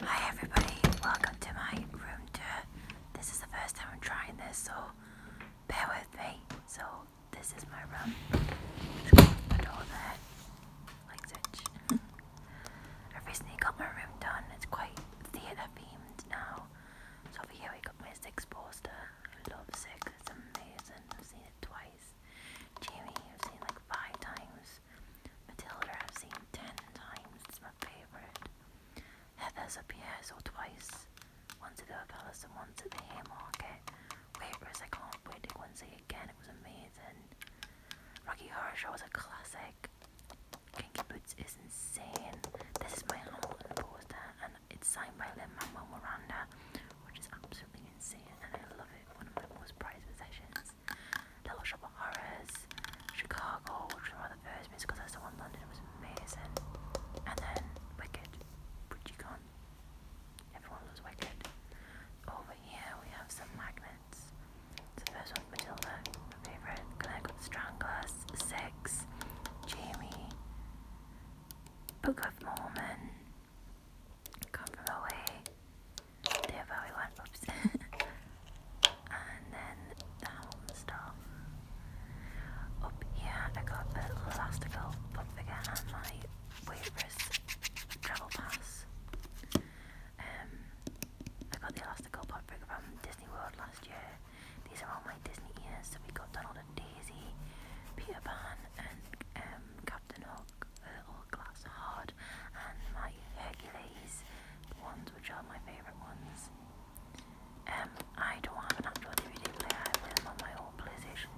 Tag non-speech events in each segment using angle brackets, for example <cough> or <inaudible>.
Hi everybody, welcome to my room tour. This is the first time I'm trying this, so bear with me. So this is my room. Just close the door there, like such. <laughs> I recently got my room done. It's quite theatre themed now. So over here we got my Six poster. I love Six. It's amazing. I've seen it twice. Jamie, I've seen it like five times. Matilda I've seen ten times, it's my favourite. Heathers appearance, or twice, once at the palace and once at the Haymarket. Waitress, I can't wait to go and see again, it was amazing. Rocky Horror Show is a classic. Kinky Boots is insane. This is my Hamilton poster and it's signed by Lin Manuel Miranda, which is absolutely insane and I love it one of my most prized possessions. Little Shop Chicago, which was one of the first movies I saw in London, it was amazing. And then Wicked, which you can't. Everyone loves Wicked. Over here we have some magnets. the first one's Matilda, my favourite. Connecticut Stranglers, Six, Jamie, Book of Mormon come from away. They're very oops. and then down stuff. Up here I got a little elastical pop figure and my waitress travel pass. Um I got the elastical pop figure from Disney World last year. These are all my Disney ears, so we got Donald and Daisy, Peter Pan and um Captain Hook uh, Orclass Hard, and my Hercules ones, which are my favourite ones. Um, I don't have an actual DVD player, I play on my old PlayStation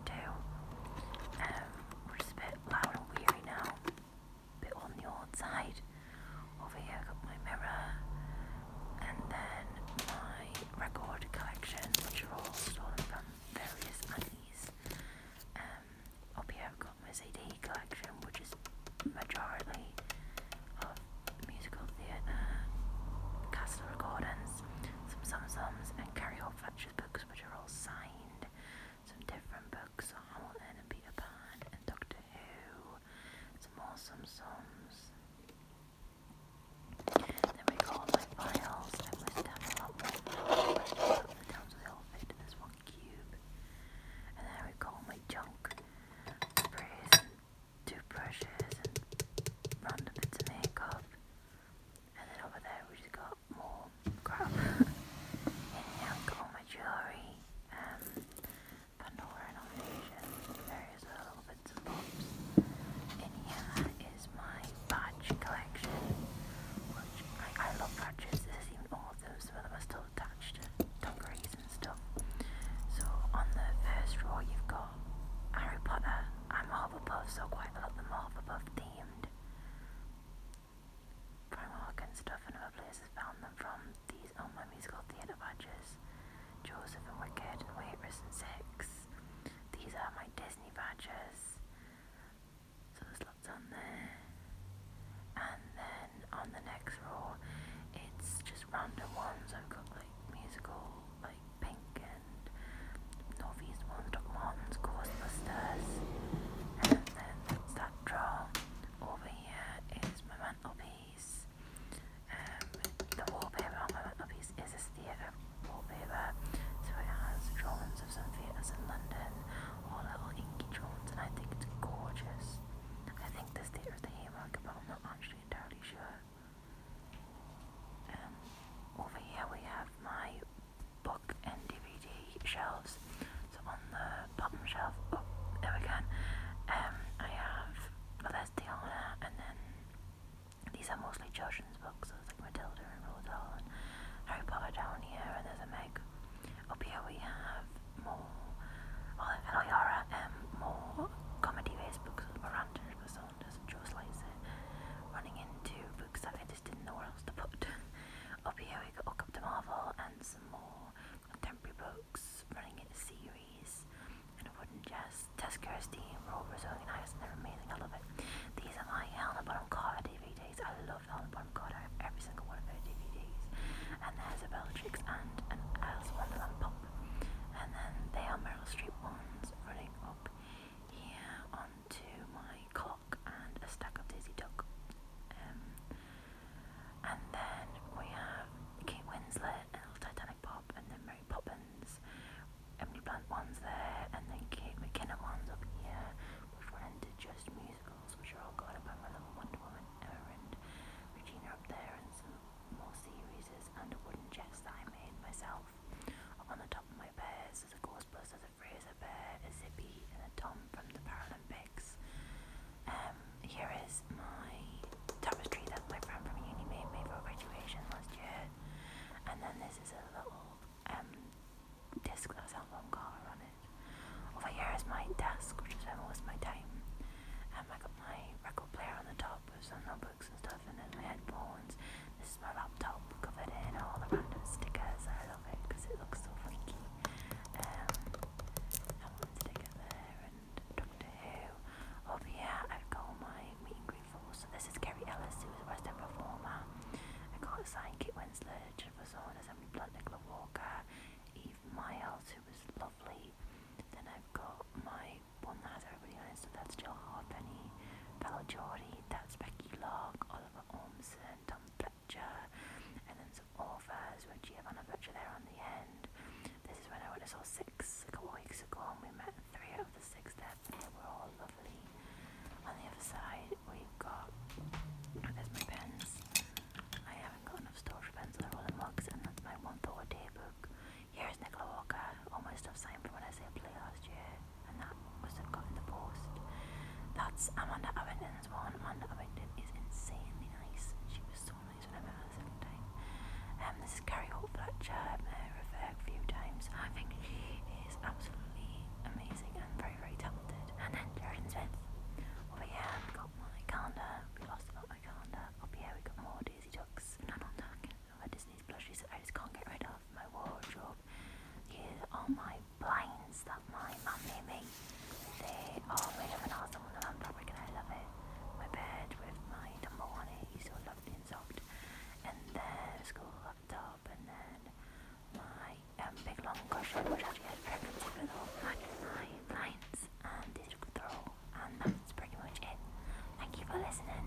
2, um, which is a bit loud and weary now, bit on the old side. Over here got my mirror, and then my record collection, which are all stolen from various antique I've um, got my CD collection, which is majority of musical theatre, castle recordings, some Samsons and Carry Hope French books, which are all signed. Some different books, so Hamilton and and Doctor Who. Some more Samsons. Then we call my files and my stuff up down so they all in this one cube. And then I recall my junk sprays toothbrushes random bits of makeup. And then over there we just got more crap. and now I've my jewellery, um, Pandora and all various little little and here is my badge collection, I, love badges. This is even all of them, some of them are still attached to and stuff. So on the first row you've got Harry Potter. I'm a Hufflepuff, so quite a lot of them are Hufflepuff themed. Primark and stuff and other places found them from these on my musical theatre badges. Joseph and Wicked and Waitress and Six these are my Disney badges. So there's lots on there. And then on the next row, it's just random ones. I've got like musical, like Pink and Northeast ones, Doc Martens, Ghostbusters. And then that's that drawer. Over here is my mantelpiece. Um, the wallpaper on my mantelpiece is a theatre wallpaper, so it has drawings of some theatres in London, all little inky drawings, and I think it's gorgeous. I think this theatre is the Haymarket, but I'm not actually entirely sure. Um, over here we have my book and DVD shelves. So on the bottom shelf, oh, there we go. Um, I have Valenciana and then these are mostly children's books, so it's like Matilda and Roald Dahl and Harry Potter down here, and there's a Meg. Up here we have more, well, Eliara, um, more comedy-based books with Miranda and Saunders and Joe Slicer, running into books that I just didn't know where else to put. <laughs> Up here we got Hook Up to Marvel and some more contemporary books running in a series, and it wouldn't just Tess Kirsty, Robert Zoe, and I, they're amazing, I love it. These are my Helena Bottom Carter DVDs, I love Helena Bottom have every single one of her DVDs. And there's a Bellatrix and an Alice Wonderland Pop, and then they are Meryl Streep ones running up here onto my clock and a stack of Daisy Duck. Um, and then we have Kate Winslet and Titanic Pop, and then Mary Poppins. Emily Blunt ones there, and then Kate McKinnon ones up here. We've run just musicals, which are all guided by my little Wonder Woman, and Regina up there, and some more series and wooden chest that I made myself. on the top of my bears, there's a Ghostbusters, a Fraser Bear, a Zippy, and a Tom from the Paralympics. Um, here is my tapestry that my friend from uni made me for graduation last year. And then this is a little um, disc that has album cover on it. Over here is my desk, which is where I of my time. And um, I got my record player on the top with some notebooks and stuff, and then my headphones. This is my laptop covered in all the random stickers. I love it because it looks so funky. Um, I sticker there and Doctor Who. Over oh, here, I've got my meet and greet force. So this is Kerry Ellis, who is a West End performer. I got a sign Kit Winslet, Jennifer Saunders, Emily Blunt, Nicola Walker, Eve Miles, who was lovely. Then I've got my one that has everybody on it, so that's Jill Harpenny, Bella Geordie, that's Becky Lock, Oliver Ormson, Tom Fletcher, and then sets of authors with Giovanna Butcher there on the end. This is when I went and saw six like, weeks ago and we met three out of the six there and they were all lovely. On the other side we've got, oh, there's my pens. I haven't got enough storage pens for all the mugs and that's my one thought day book. Here's Nicola Walker, all my stuff signed from when I said play last year and that must have got in the post. That's Amanda Abington's one. Amanda Abington is insanely nice. She was so families whenever um, this is Carrie Holt Fletcher, I've met a few times. I think she is absolutely amazing and very, very talented. And then Jared Smith. Over oh, here, we got my calendar. We lost about my calendar. Up oh, here, we got more Daisy Ducks. None on talking about Disney's plushies I just can't get rid of. My wardrobe. Here's all my blinds that my mum made me. They are made of an awesome woollen fabric and I love it. My bed with my tumble on it is so lovely and soft. And then school up and then my um, big long cushion which actually has pregnancy with all my blinds and this throw and that's pretty much it. Thank you for listening.